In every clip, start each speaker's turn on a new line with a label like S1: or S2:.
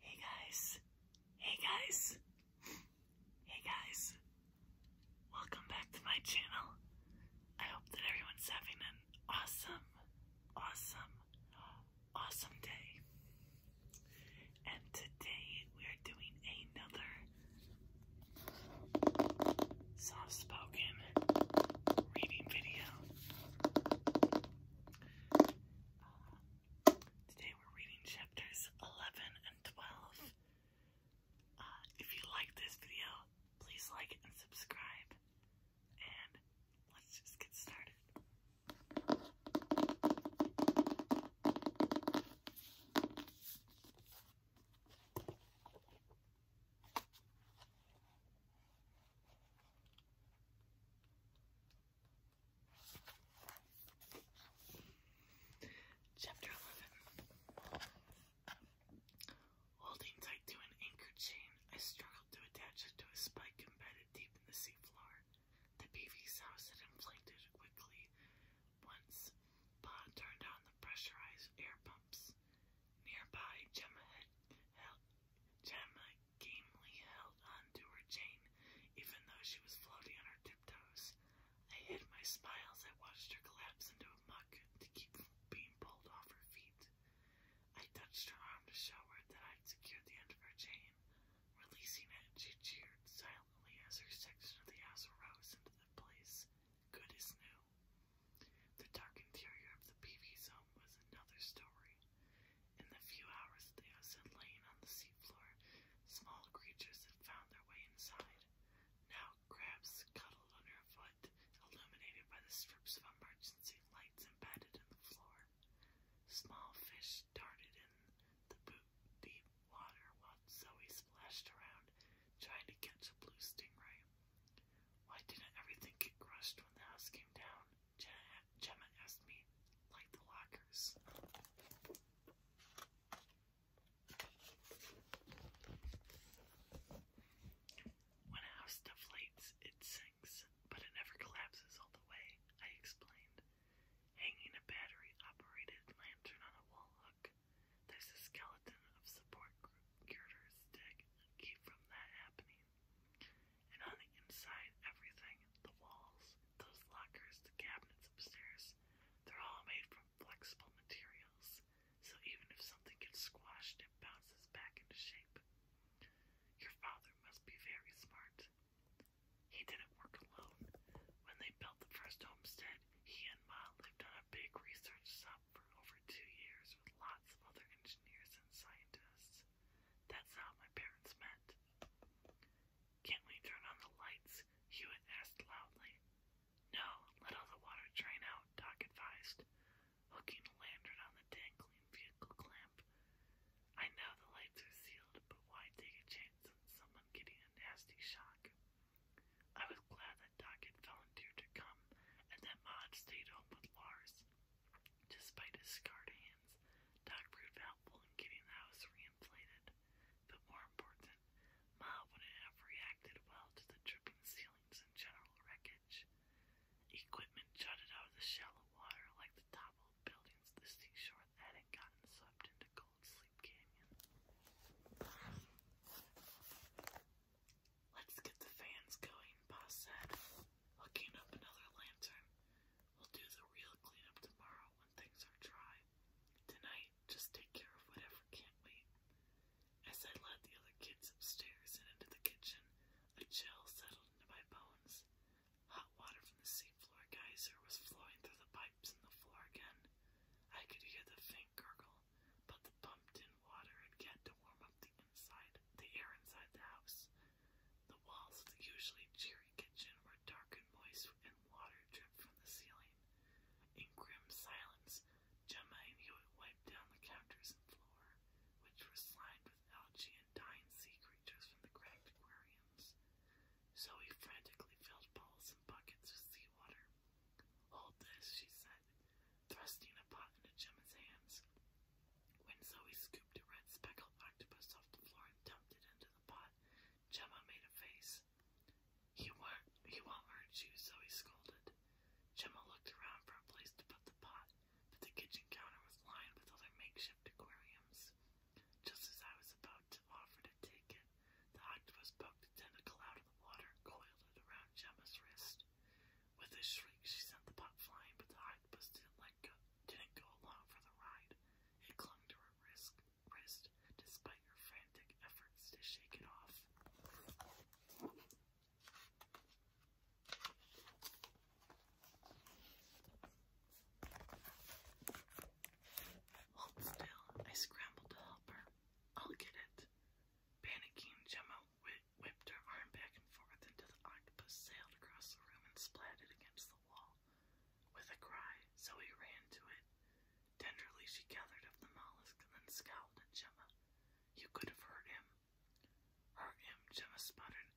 S1: Hey guys, hey guys, hey guys, welcome back to my channel. I hope that everyone's having an awesome, awesome, awesome day. And today we are doing another soft spoken reading video. Uh, today we're reading chapters 11 and 12. Uh, if you like this video, please like and subscribe. And let's just get started. Chapter 11 Holding tight to an anchor chain, I struggled to attach it to a spike embedded deep in the seafloor. The beavy's house had inflated quickly. Once, Pa turned on the pressurized air pumps. Nearby, Gemma had held, Gemma
S2: gamely held on to her chain, even though she was floating on her tiptoes. I hid my smiles. I watched her collapse into a muck to keep from being pulled off her feet. I touched her
S1: arm to show her that I'd secured the end of her chain. Releasing it, she cheered silently as her section of the house rose into the place good as new. The dark interior of the PV's home was another story. In the few hours they had seen laying on the seafloor, small creatures had found their way inside. Now crabs cuddled underfoot, illuminated by the strips of emergency lights embedded in the floor. Small fish darted in the boot deep water while Zoe splashed around, trying to catch a blue stingray. Why didn't everything get crushed when the house came down? Gemma asked me, like the lockers. When a house deflates, it sinks, but it never collapses all the way, I explained. Hanging a battery operated lantern on a wall hook. There's a skeleton of support girders stick keep from that happening. And on the inside, everything the walls, those lockers, the cabinets upstairs they're all made from flexible materials, so even if something gets squashed, it bounces back into shape. Your father must be very smart. He didn't work alone. When they built the first homestead, he and Ma lived on a big research sub for over two years with lots of other engineers and scientists friends. That's not how my parents met. Can't we turn on the lights? Hewitt asked loudly. No, let all the water drain out, Doc advised, hooking a lantern on the dangling vehicle clamp. I know the lights are sealed, but why take a chance on someone getting a nasty shock? I was glad that Doc had volunteered to come and that Maud stayed home with Lars. Despite his scarred hands, Doc proved helpful in getting the house re-inflated. But more important, Ma wouldn't have reacted well to the dripping ceilings and general wreckage. Equipment jutted out of the shallow water like the top buildings to the seashore that had gotten swept into Cold Sleep Canyon. Let's get the fans going, Pa said. Hooking up another lantern. We'll do the real cleanup tomorrow when things are dry. Tonight, just take care of whatever can't wait. As I led the other kids upstairs and into the kitchen, a chill settled into my bones. Hot water from the seafloor geyser was flowing through the pipes in the floor again. I could hear the faint gurgle, but the pumped in water had yet to warm up the inside the air inside the house. The walls of the usually cheery kitchen were dark and moist, and water dripped from the ceiling. In grim silence, Gemma and Hewitt wiped down the counters and floor, which were slimed with algae and dying sea creatures from the cracked aquariums. Zoe frantically filled bowls and buckets with seawater. Hold this, she said, thrusting a pot into Gemma's hands. When Zoe scooped a red speckled octopus off the floor and dumped it into the pot, Gemma made a face. He won't, he won't hurt you, Zoe scolded. Gemma looked around for a place to put the pot, but the kitchen counter was lined with other makeshift aquariums. Just as I was about to offer to take it, the octopus poked a tentacle out of the water and coiled it around Gemma's wrist. With a shriek, she sent the pup flying, but the octopus didn't let go, didn't go along for the ride. It clung to her wrist, wrist despite her frantic efforts to shake it off. Hold still, I scrambled to help her. I'll get it. Panicking, Gemma whipped her arm back and forth until the octopus sailed across the room and splatted against the wall. With a cry,
S2: Zoe ran to it. Tenderly she gathered up the mollusk and then scowled at
S1: Gemma. You could have hurt him. Hurt him, Gemma sputtered.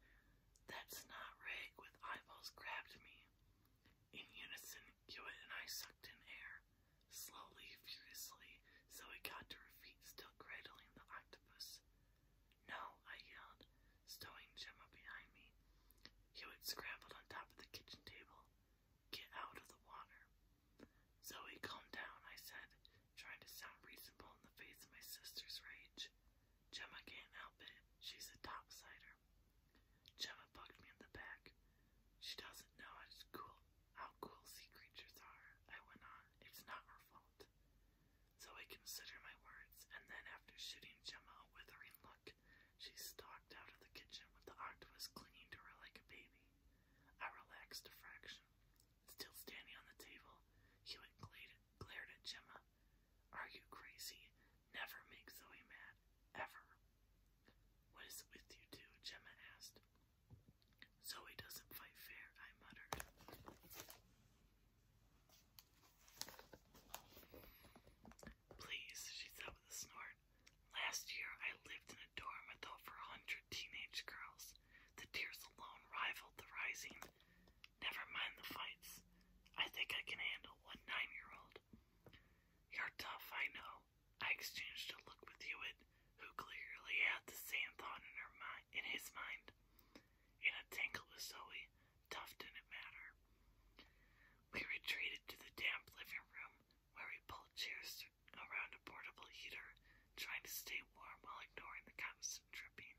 S1: That's not Rig with eyeballs grabbed me. In unison, Hewitt and I sucked in air. Slowly, furiously, Zoe got to her feet, still cradling the octopus. No, I yelled, stowing Gemma behind me. Hewitt scrambled on top of the kitchen table. Get out of the water. Zoe, calm down, I said, trying to sound reasonable in the face of my sister's rage. Gemma can't help it. She's a topsider. Gemma bugged me in the back. She doesn't know how cool, how cool sea creatures are, I went on. It's not her fault. So I consider my words, and then after shooting Gemma a withering look, she stalked out of the kitchen with the octopus clinging to her like a baby. I relaxed a fraction. Still standing on the table, Hewitt glared at Gemma. Are you crazy? Never make Zoe mad. Ever. What is it with you two? Gemma asked. Zoe doesn't fight fair, I muttered. Please, she said with a snort. Last year I lived in a dorm with over a hundred teenage girls. The tears alone rivaled the rising. Never mind the fights. I think I can handle one nine year old. You're tough, I know. I exchanged a look with Hewitt who clearly had the same thought in, her mind, in his mind. In a tangle with Zoe, tough didn't matter. We retreated to the damp living room where we pulled chairs around a portable heater, trying to stay warm while ignoring the constant dripping.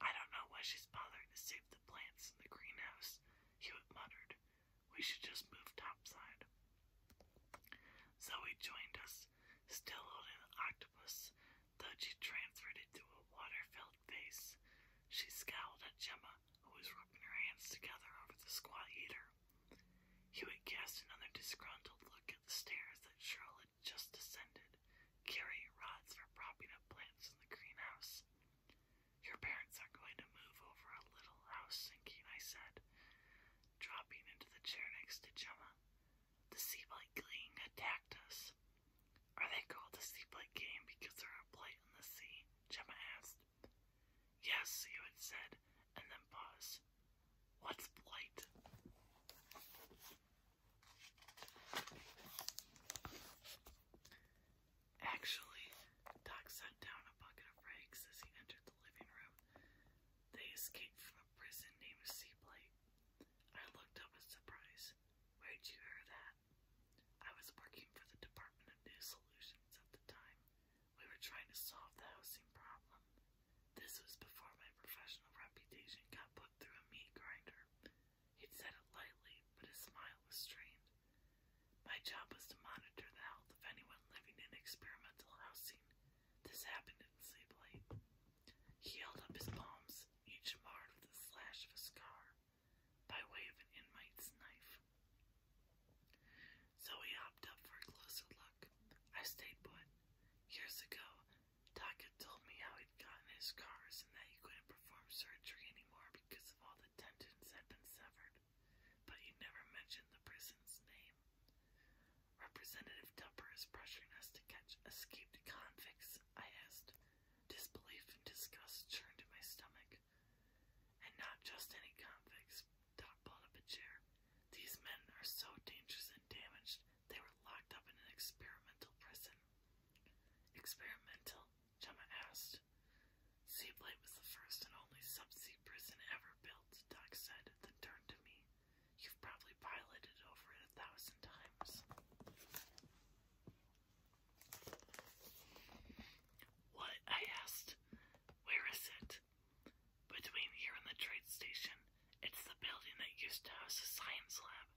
S1: I don't know why she's bothering to save the plants in the greenhouse, Hewitt muttered. We should just move topside. Zoe joined us still holding the octopus, though she transferred it to a water-filled vase, She scowled at Gemma, who was rubbing her hands together over the squat eater. Hewitt cast another disgruntled look at the stairs that Charlotte had just descended, carrying rods for propping up plants in the greenhouse. Your parents are going to move over a little house
S2: sinking, I said, dropping into the chair next to Gemma. The Sea Blight
S1: Gang attacked us. Are they called the Sea Blight Gang because they're a blight on the sea? Gemma asked. Yes, you had said, and then paused. What's blight? Actually, Doc set down a bucket of rags as he entered the living room. They escaped from a prison named Sea Blight. I looked up in surprise. Where'd you hear that? I was working for the Department of New Solutions at the time. We were trying to solve the housing problem. This was before my professional reputation got put through a meat grinder. He'd said it lightly, but his smile was strained. My job was to monitor the health of anyone living in experimental housing. This happened in Sleep Lake. He held up his palms, each marred with the slash of a scar, by way of an inmate's knife. So he hopped up for a closer look. I stayed put. Years ago, Doc had told me how he'd gotten his scars and that he couldn't perform surgery anymore because of all the tendons had been severed, but he never mentioned the prison's name. Representative Tupper is pressuring us to catch escaped convicts, I asked. Disbelief and disgust churned in my stomach. And not just any convicts, Doc pulled up a chair. These men are so dangerous and damaged, they were locked up in an experimental prison. Experimental? Gemma asked. Seablight was the first and only subsea prison ever built, Doc said, then turned to me. You've probably piloted over it a thousand times. What? I asked. Where is it? Between here and the trade station. It's the building that used to house the science lab.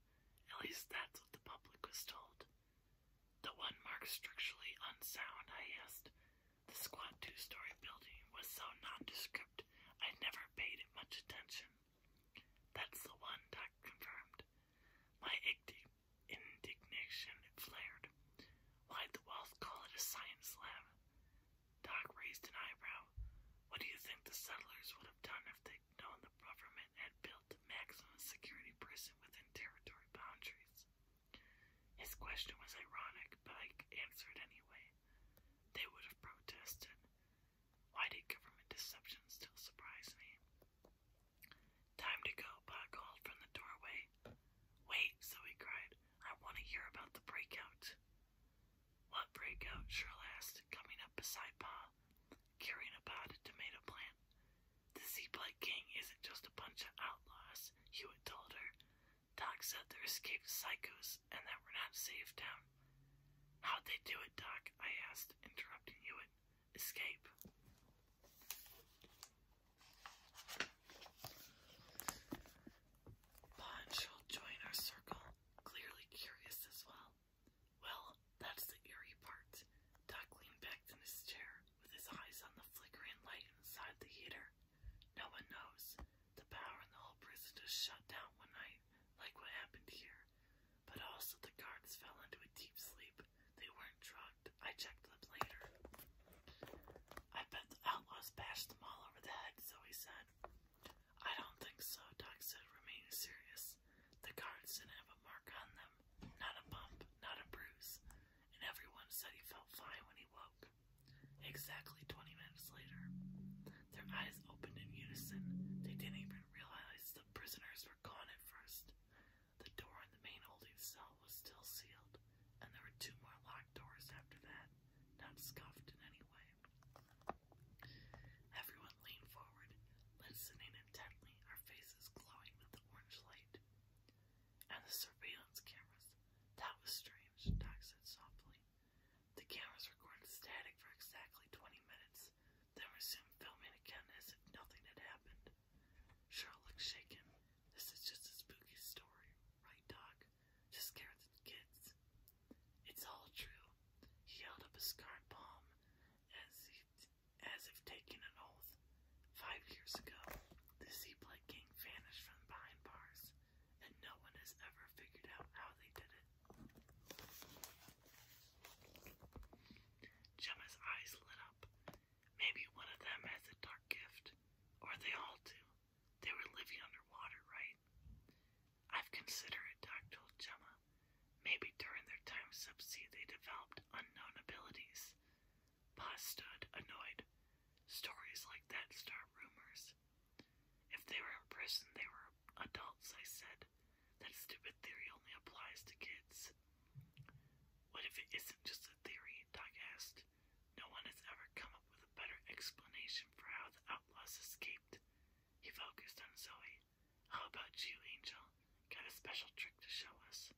S1: At least that's what the public was told. The one marked structurally unsound, I asked. The squat two story building was so nondescript I never paid it much attention. That's the one, Doc confirmed. My indignation flared. Why'd the Wells call it a science lab? Doc raised an eyebrow. What do you think the settlers would have done if they'd known the government had built a maximum security prison within territory boundaries? His question was ironic, but I answered anyway. They would have protested. Why did government deception still surprise me? Time to go, Pa called from the doorway. Wait, Zoe cried. I want to hear about the breakout. What breakout? Shirley asked, coming up beside Pa, carrying a potted tomato plant. The Z-Black gang isn't just a bunch of outlaws, Hewitt told her. Doc said they're escaped psychos and that we're not safe down. How'd they do it, Doc? I asked, interrupting Hewitt. Escape.
S2: Ponch'll join our circle, clearly curious as well. Well, that's the eerie part. Doc leaned back in his chair with his eyes on the flickering light inside the heater. No one knows. The power in the whole prison just shut down one night, like what happened here. But also the guards fell
S1: into a deep sleep. They weren't drugged. I checked them later. I bet the outlaws bashed them all over the head, Zoe said. I don't think so, Doc said, remaining serious. The guards didn't have a mark on them. Not a bump, not a bruise. And everyone said he felt fine when he woke. Exactly 20 minutes later, their eyes opened in unison. They didn't even realize the prisoners were gone at first. The door in the main holding cell was still sealed, and there were two more locked doors after that, not scuffed in any way. Everyone leaned forward, listening intently, Their faces glowing with the orange light. And the surveillance cameras. That was strange, Doc said softly. The cameras recorded static for exactly 20 minutes, then resumed filming again as if nothing had happened. Cheryl looked shaken. This is just a spooky story, right, Doc? To scare the kids. It's all true. He held up a scarred palm as, he, as if taking an oath. Five years ago, the Seaplake King vanished from behind bars and no one has ever figured out how they did it. Gemma's eyes lit up. Maybe one of them has a dark gift, or they all do. They were living underwater, right? I've considered it, Doc told Gemma. Maybe during their time subsea they developed unknown abilities. Pa stood, annoyed. Stories like that start rumors. If they were in prison, they were adults, I said. That stupid theory only applies to kids. What if it isn't just a theory? Doc asked. No one has ever come up with a better explanation for how the outlaws escaped. He focused on Zoe. How about you, Angel? Got a special trick to show us?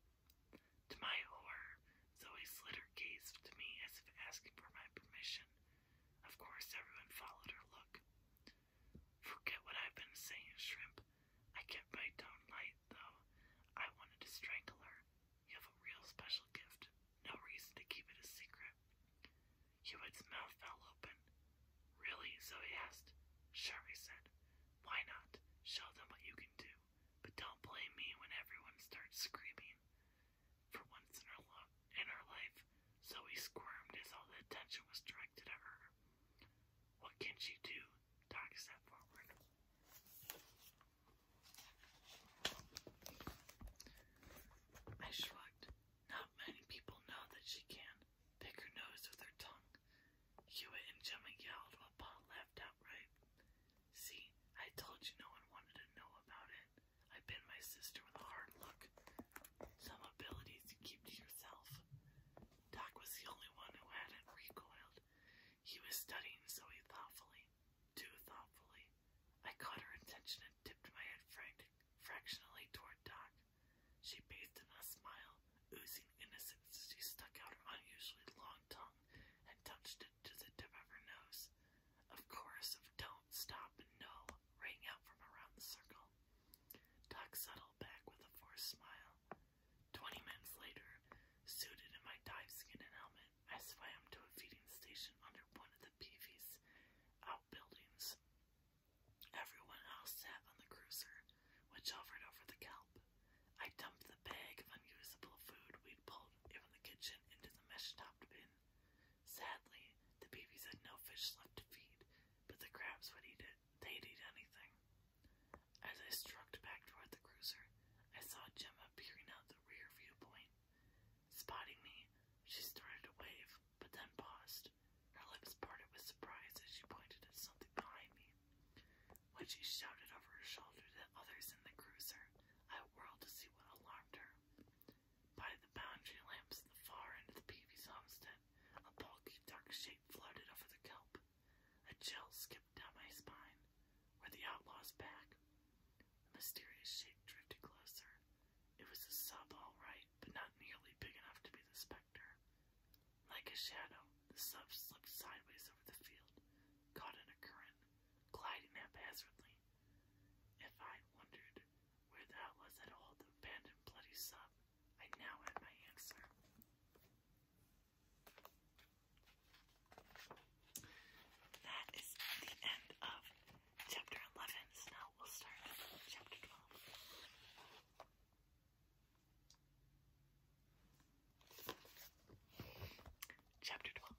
S1: To my horror, Zoe slid her gaze to me as if asking for my permission. Of course, everyone followed her look. Forget what I've been saying, Shrimp. I kept my tone light, though. I wanted to strangle her. You have a real special gift. No reason to keep it a secret. Hewitt's mouth fell open. Really? Zoe asked. Sure, he said.
S2: Why not? Show them what you can do. But don't blame me when everyone starts screaming. For once in her, lo
S1: in her life, Zoe squirmed as all the attention was directed at her. What can she do? Doc stepped forward. I shrugged. Not many people know that she can pick her nose with her tongue. Hewitt and Jimmy yelled while Paul laughed outright. See, I told you no one wanted to know about it. I been my sister with a hard look. Some abilities you keep to yourself. Doc was the only one who hadn't recoiled. He was studying Zoe thoughtfully, too thoughtfully. I caught her attention and tipped my head fractionally toward Doc. She bathed in a smile, oozing innocence. She stuck out her unusually long tongue and touched it to the tip of her nose. Of course, of don't stop and no rang out from around the circle. Doc settled back with a forced smile. Twenty minutes later, suited in my dive skin and helmet, I swam to a feeding station under one of the PV's outbuildings. Everyone else sat on the cruiser, which hovered over the kelp. I dumped the bag of unusable food we'd pulled from the kitchen into the mesh-topped bin Sadly, the babies had no fish left to feed, but the crabs would eat it. They'd eat anything. As I stroked back toward the cruiser, I saw Gemma peering out the rear viewpoint. Spotting me, she started to wave, but then paused. Her lips parted with surprise as she pointed at something behind me. When she shouted over her shoulder to the others in the cruiser, I whirled to see what alarmed her. By the boundary lamps at the far end of the Peavy's homestead, a bulky dark shape floated over the kelp. A chill skipped down my spine. Were the outlaws back? The mysterious shape drifted closer. It was a sub all right, but not nearly big enough to be the spectre. Like a shadow, the sub slipped sideways over the field, caught in a current, gliding haphazardly if I wondered where that was at all, the abandoned bloody sub, I now had my answer. That is the end of chapter 11, now we'll start chapter
S2: 12. Chapter 12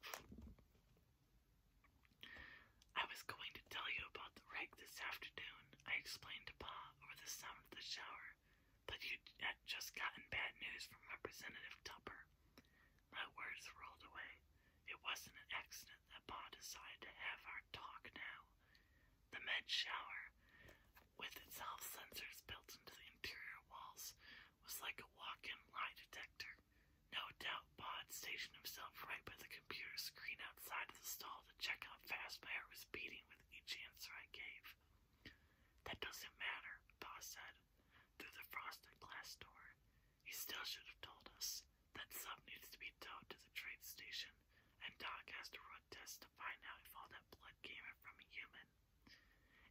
S2: I was going to tell you about the wreck this
S1: afternoon, I explained to Pa over the sound of the shower, but you had just gotten bad news from Representative Tupper. My words rolled away. It wasn't an accident that Pa decided to have our talk now. The med shower, with its health sensors built into the interior walls, was like a walk-in lie detector. No doubt Bod stationed himself right by the computer screen outside of the stall to check how fast my heart was beating with each answer I gave. That doesn't matter, Pa said, through the frosted glass door. He still should have told us. That sub needs to be towed to the train station, and Doc has to run tests to find out if all that blood came from a human.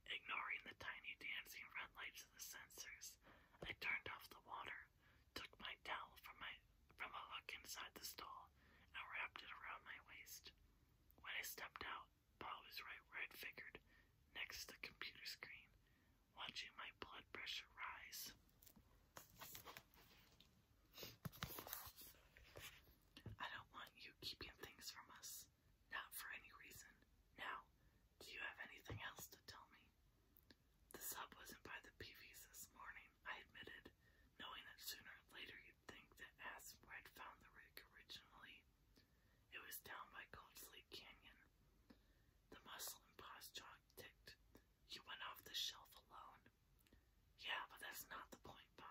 S1: Ignoring the tiny dancing red lights of the sensors, I turned off the water, took my towel from my from a hook inside the stall, and wrapped it around my waist. When I stepped out, Pa was right where I'd figured, next to the computer screen, watching my blood pressure rise. I don't want you keeping things from us. Not for any reason. Now, do you have anything else to tell me? The sub wasn't by the PVs this morning, I admitted, knowing that sooner or later you'd think that ask where I'd found the rig originally. It was down by Gold's Lake Canyon. The muscle in Pa's jaw ticked. You went off the shelf alone. Yeah, but that's not the point, Pa.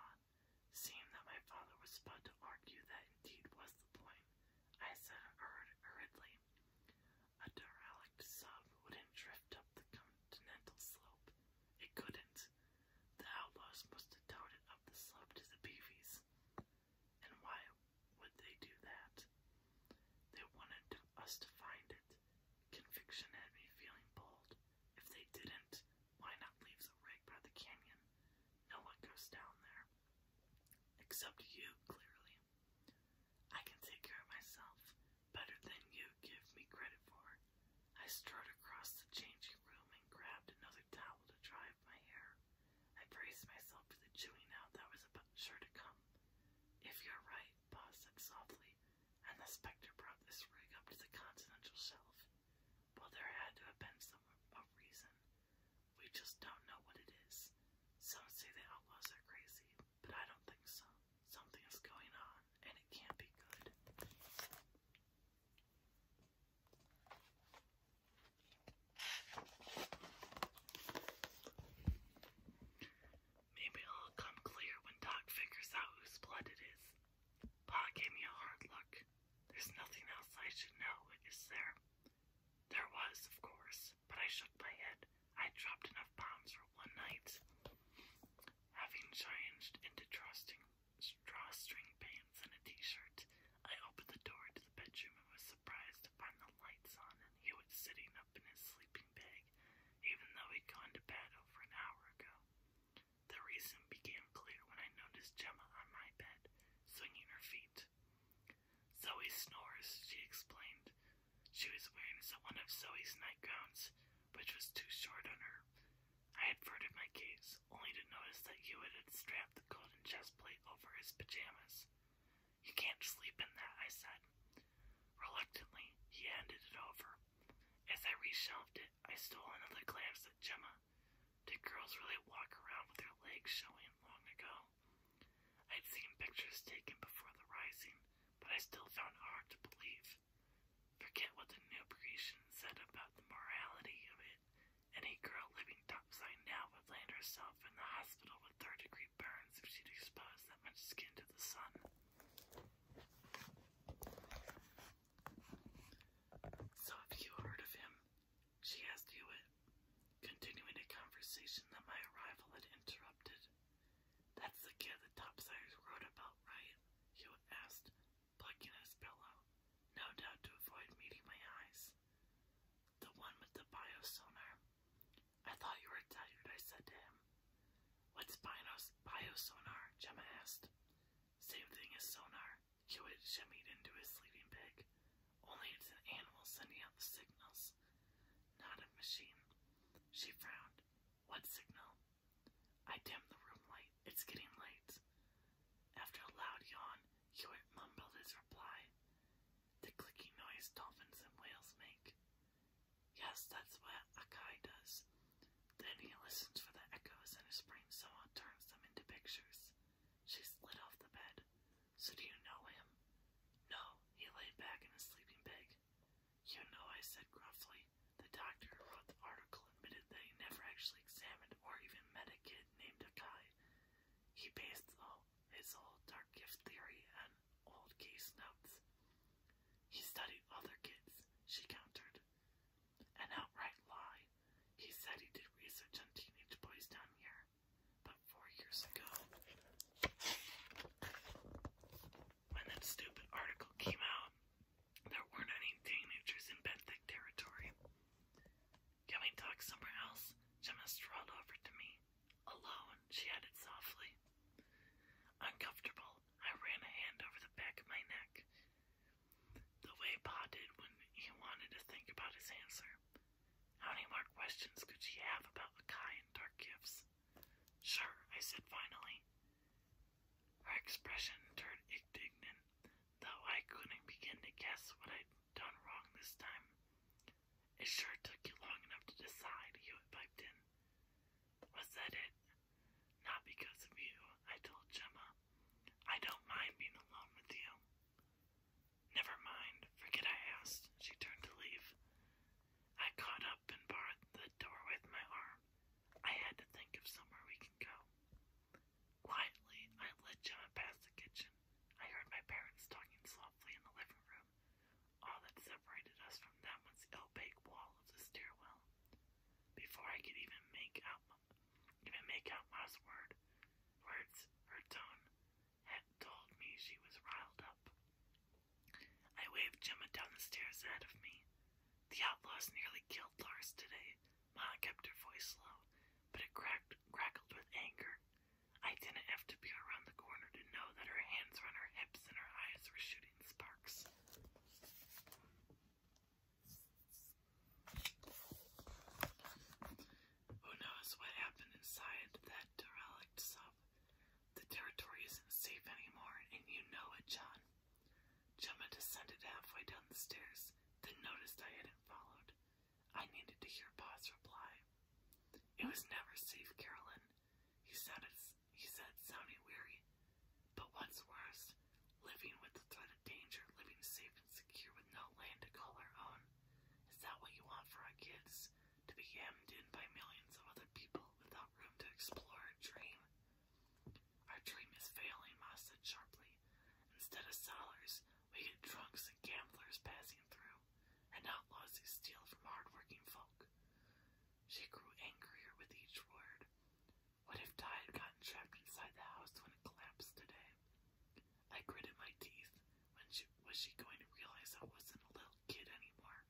S1: Seeing that my father was about to argue that indeed was the point, I said hurriedly. A derelict sub wouldn't drift up the continental slope. It couldn't. The outlaws must have towed it up the slope to the beevies. And why would they do that? They wanted us to find it. Conviction had me feeling bold. If they didn't, why not leave the rig by the canyon? No one goes down there. Except you, clearly. I can take care of myself better than you give me credit for. I strode across the changing room and grabbed another towel to dry my hair. I braced myself for the chewing out that was about sure to come. If you're right, Pa said softly, and the specter brought this rig up to the continental shelf. Well, there had to have been some reason. We just don't know what it is. Some say the outlaws are crazy, but I don't think so. Something is going on, and it can't be good. Maybe it'll come clear when Doc figures out whose blood it is. Pa gave me a hard look. There's nothing else I should know, is there? There was, of course, but I shook my head. I dropped enough pounds for one night. Having changed into trusting drawstring pants and a t-shirt, I opened the door to the bedroom and was surprised to find the lights on and he was sitting up in his sleeping bag, even though he'd gone to bed over an hour ago. The reason became clear when I noticed Gemma on my bed, swinging her feet it. Zoe snores, she explained. She was wearing one of Zoe's nightgowns, which was too short on her. I averted my gaze, only to notice that Hewitt had strapped the golden chest plate over his pajamas. You can't sleep in that, I said. Reluctantly, he handed it over. As I reshelved it, I stole another glance at Gemma. Did girls really walk around with their legs showing long ago? I'd seen pictures taken before the rising, but I still found it hard to believe. Forget what the new Grecian said about the morality of it. Any girl living topside now would land herself in the hospital with third degree burns if she'd exposed that much skin to the sun. So, have you heard of him? She asked Hewitt, continuing a conversation that my arrival had interrupted. That's the kid the topsiders wrote about, right? Hewitt asked, plucking his pillow, no doubt to avoid meeting my eyes. The one with the biosonar. I thought you were tired, I said to him. What's bios biosonar? Gemma asked. Same thing as sonar. Jewett shimmied into his sleeping bag. Only it's an animal sending out the signals, not a machine. She frowned. What signal? I dim the room light. It's getting late. After a loud yawn, Hewitt mumbled his reply. The clicking noise dolphins and whales make. Yes, that's what a Akai does. Then he listens for the echoes and his brain somehow turns them into pictures. She slid off the bed. So do you know him? No, he lay back in his sleeping bag. You know, I said gruffly. The doctor wrote the article admitted that he never actually examined or even met a kid named Akai. He based his whole dark gift theory on old case notes. He studied other kids, she countered. An outright lie. He said he did research on teenage boys down here, but four years ago, when that stupid article came out, there weren't any teenagers in Benthic territory. Can we talk somewhere else? Gemma strolled over to me. Alone, she added softly. Uncomfortable, I ran a hand over the back of my neck the way Pa did when he wanted to think about his answer. How many more questions could she have about Lakai and dark gifts? Sure, I said finally. Her expression turned indignant, though I couldn't begin to guess what I'd done wrong this time. It sure took you long enough to decide, Hewitt piped in. Was that it? Not because of you, I told Gemma. I don't mind being alone with you. Never mind, forget I asked. She turned to leave. I caught up and barred the door with my arm. I had to think of somewhere we can go. Quietly, I led John past the kitchen. I heard my parents talking softly in the living room. All that separated us from them was the opaque wall of the stairwell. Before I could even make out even make out last word words. Her tone had told me she was riled up. I waved Gemma down the stairs ahead of me. The outlaws nearly killed Lars today. Ma kept her voice low, but it cracked, crackled with anger. I didn't have to be around the corner to know that her hands were on her hips and her eyes were shooting sparks. Who knows what happened inside that derelict sub? The territory isn't safe anymore, and you know it, John. Gemma descended halfway down the stairs, then noticed I hadn't followed. I needed to hear Pa's reply. It was never safe, Carolyn. He sounded, he said, sounding weary. But what's worse, us, living with the threat of danger, living safe and secure with no land to call our own. Is that what you want for our kids? To be hemmed in by millions of other people without room to explore our dream? Our dream is failing, Ma said sharply. Instead of sellers, we get drunks and gamblers passing through, and outlaws who steal from hard-working folk. She grew angrier with each word. What if Ty had gotten trapped inside the house when it collapsed today? I gritted my teeth. When she, was she going to realize I wasn't a little kid anymore?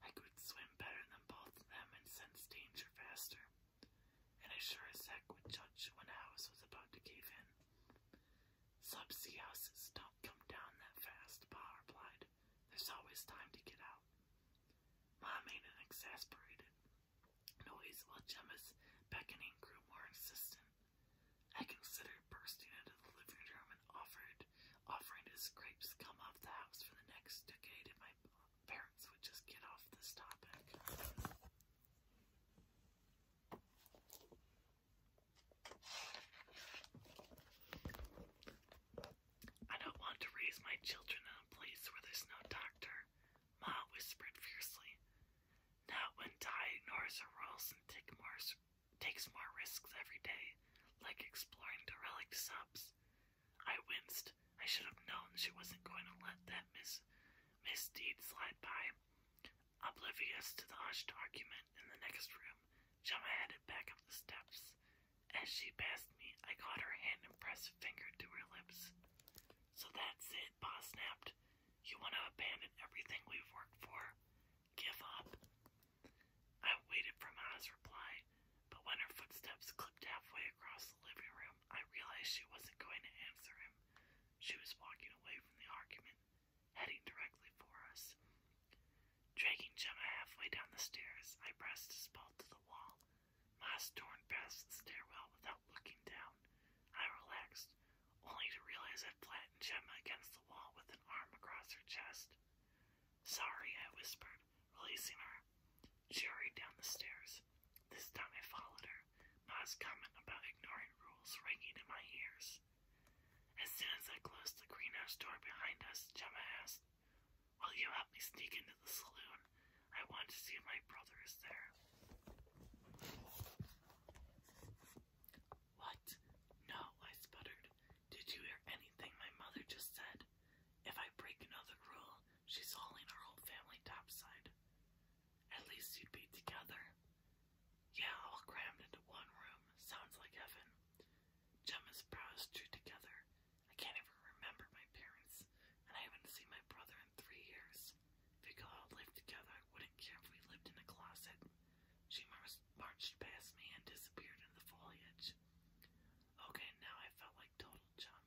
S1: I could swim better than both of them and sense danger faster. And I sure as heck would judge when a house was about to cave in. Subsea houses don't come down
S2: that fast, Pa replied.
S1: There's always time to get out. Mom ain't an exasperated noise while Gemma's beckoning grew more insistent. I considered bursting into the living room and offered offering to scrape come off the house for the next decade if my parents would just get off this topic. I don't want to raise my children in a place where there's no doctor, Ma whispered fiercely. Not when Ty ignores her rules and take more, takes more risks every day, like exploring derelict subs. I winced. I should have known she wasn't going to let that mis misdeed slide by. Oblivious to the hushed argument in the next room, Gemma headed back up the steps. As she passed me, I caught her hand and pressed a finger to her lips. So that's it, boss snapped. You want to abandon everything we've worked for? Give up? I waited for Ma's reply, but when her footsteps clipped halfway across the living room, I realized she wasn't going to answer him. She was walking away from the argument, heading directly for us. Dragging Gemma halfway down the stairs, I pressed his ball to the wall. Moss torn past the stairwell without looking down. I relaxed, only to realize I'd flattened Gemma against the wall with an arm across her chest. Sorry, I whispered, releasing her. She hurried down the stairs. This time I followed her, Ma's comment about ignoring rules ringing in my ears. As soon as I closed the greenhouse door behind us, Gemma asked, Will you help me sneak into the saloon? I want to see if my brother is there. What? No, I sputtered. Did you hear anything my mother just said? If I break another rule, she's hauling our whole family topside. At least you'd be together. Yeah, all crammed into one room. Sounds like heaven. Gemma's brows drew together. I can't even remember my parents and I haven't seen my brother in three years. If we could all live together, I wouldn't care if we lived in a closet. She marched past me and disappeared in the foliage. Okay, now I felt like total chum.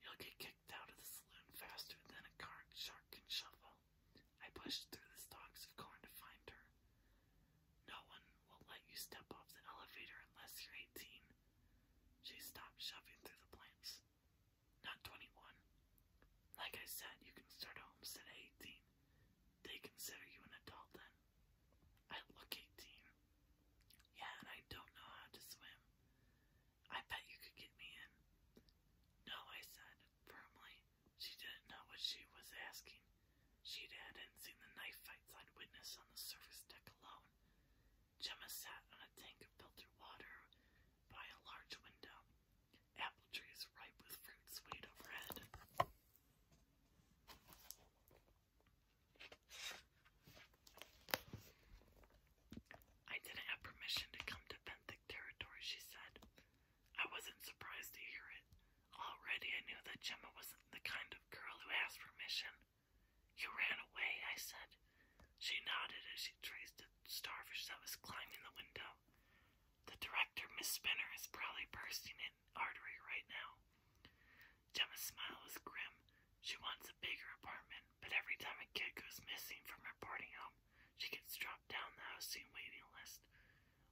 S1: You'll get kicked out of the saloon faster than a card shark can shovel. I pushed through the stalks of corn to find her. No one will let you step off the elevator unless you're 18. She stopped shoving through the plants not 21. Like I said, you can start a homestead at 18. They consider you an adult then. I look 18. Yeah, and I don't know how to swim. I bet you could get me in. No, I said, firmly. She didn't know what she was asking. She hadn't seen the knife fights I'd witnessed on the surface deck alone. Gemma sat on a tank of filtered water by a large window. Apple trees ripe with fruit swayed overhead. I didn't have permission to come to Benthic territory, she said. I wasn't surprised to hear it. Already I knew that Gemma wasn't the kind of girl who asked permission. You ran away, I said. She nodded as she traced a starfish that was climbing the window. The director, Miss Spinner, is probably bursting an artery right now. Gemma's smile was grim. She wants a bigger apartment, but every time a kid goes missing from her boarding home, she gets dropped down the housing waiting list,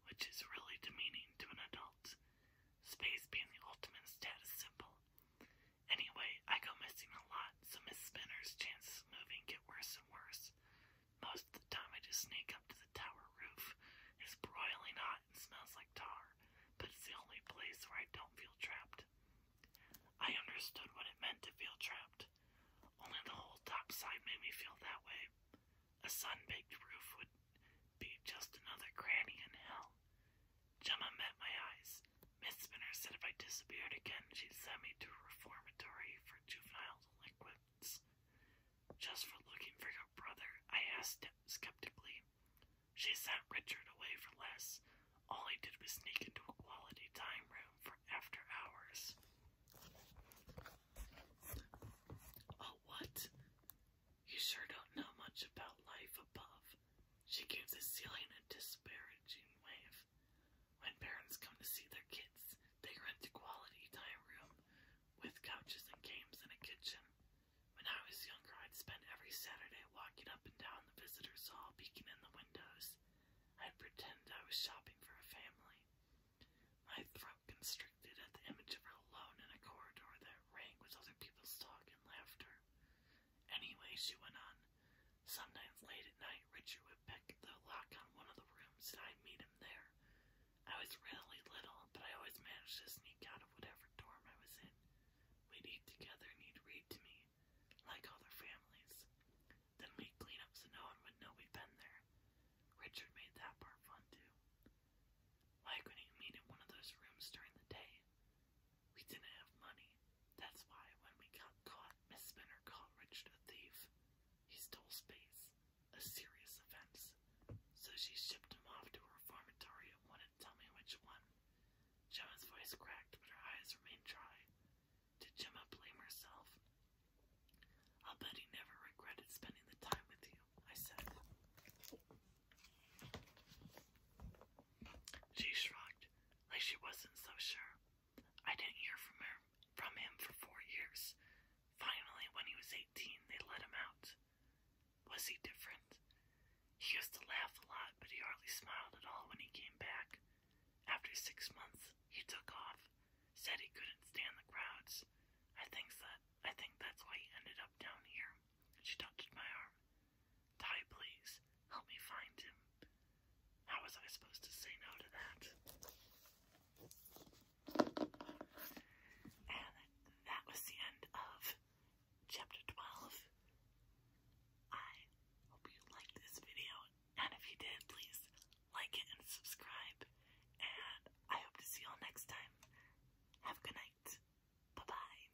S1: which is really demeaning to an adult. Space being the ultimate status symbol. Anyway, I go missing a lot, so Miss Spinner's chances of moving get worse and worse. Most of the time, I just sneak up to the tower roof. It's broiling hot and smells like tar, but it's the only place where I don't feel trapped. I understood what it meant to feel trapped, only the whole top side made me feel that way. A sun-baked roof would be just another cranny in hell. Gemma met my eyes years. Miss Spinner said if I disappeared again, she'd send me to a reformatory for juvenile delinquents. Just for looking for your brother, I asked skeptically. She sent Richard away for less. All I did was sneak into a quality time room for after hours. Oh, what? You sure don't know much about life above. She gave the ceiling a disparaging wave. When parents come to see their kids, they rent a quality time room with couches and games and a kitchen. When I was younger, I'd spend
S2: every Saturday walking up and down the visitors' hall, peeking in the windows. I'd pretend I was shopping for a family. My throat constricted at the image of
S1: her alone in a corridor that rang with other people's talk and laughter. Anyway, she went on. Sometimes late at night, Richard would pick the lock on one of the rooms, and I'd meet him there. I was really little, but I always managed to sneak out of whatever dorm I was in. We'd eat together, and he'd read to me, like other families. Then we'd clean up so no one would know we'd been there. Richard made that part fun, too. Why couldn't you meet in one of those rooms during the day? We didn't have money. That's why when we got caught, Miss Spinner called Richard a thief.
S2: He stole space, a serious offense. So she shipped him off to a reformatory and wouldn't tell me which one. Gemma's voice cracked, but her eyes remained dry. Did Gemma blame herself? I'll bet he never
S1: regretted spending the time with you, I said. She shrugged like she wasn't so sure. I didn't hear from her from him for four years. Finally, when he was eighteen, they let him out. Was he different? He used to laugh a lot, but he hardly smiled at all when he came back. After six months, he took off, said he couldn't stand the crowds. I think that I think that's why he ended up down here. She touched my arm. Dottie, please, help me find him. How was I supposed to say no to that? And that was the end of chapter 12. I hope you liked this video, and if you did, please like
S2: it and subscribe. And I hope to see you all next time. Have a good night. Bye bye.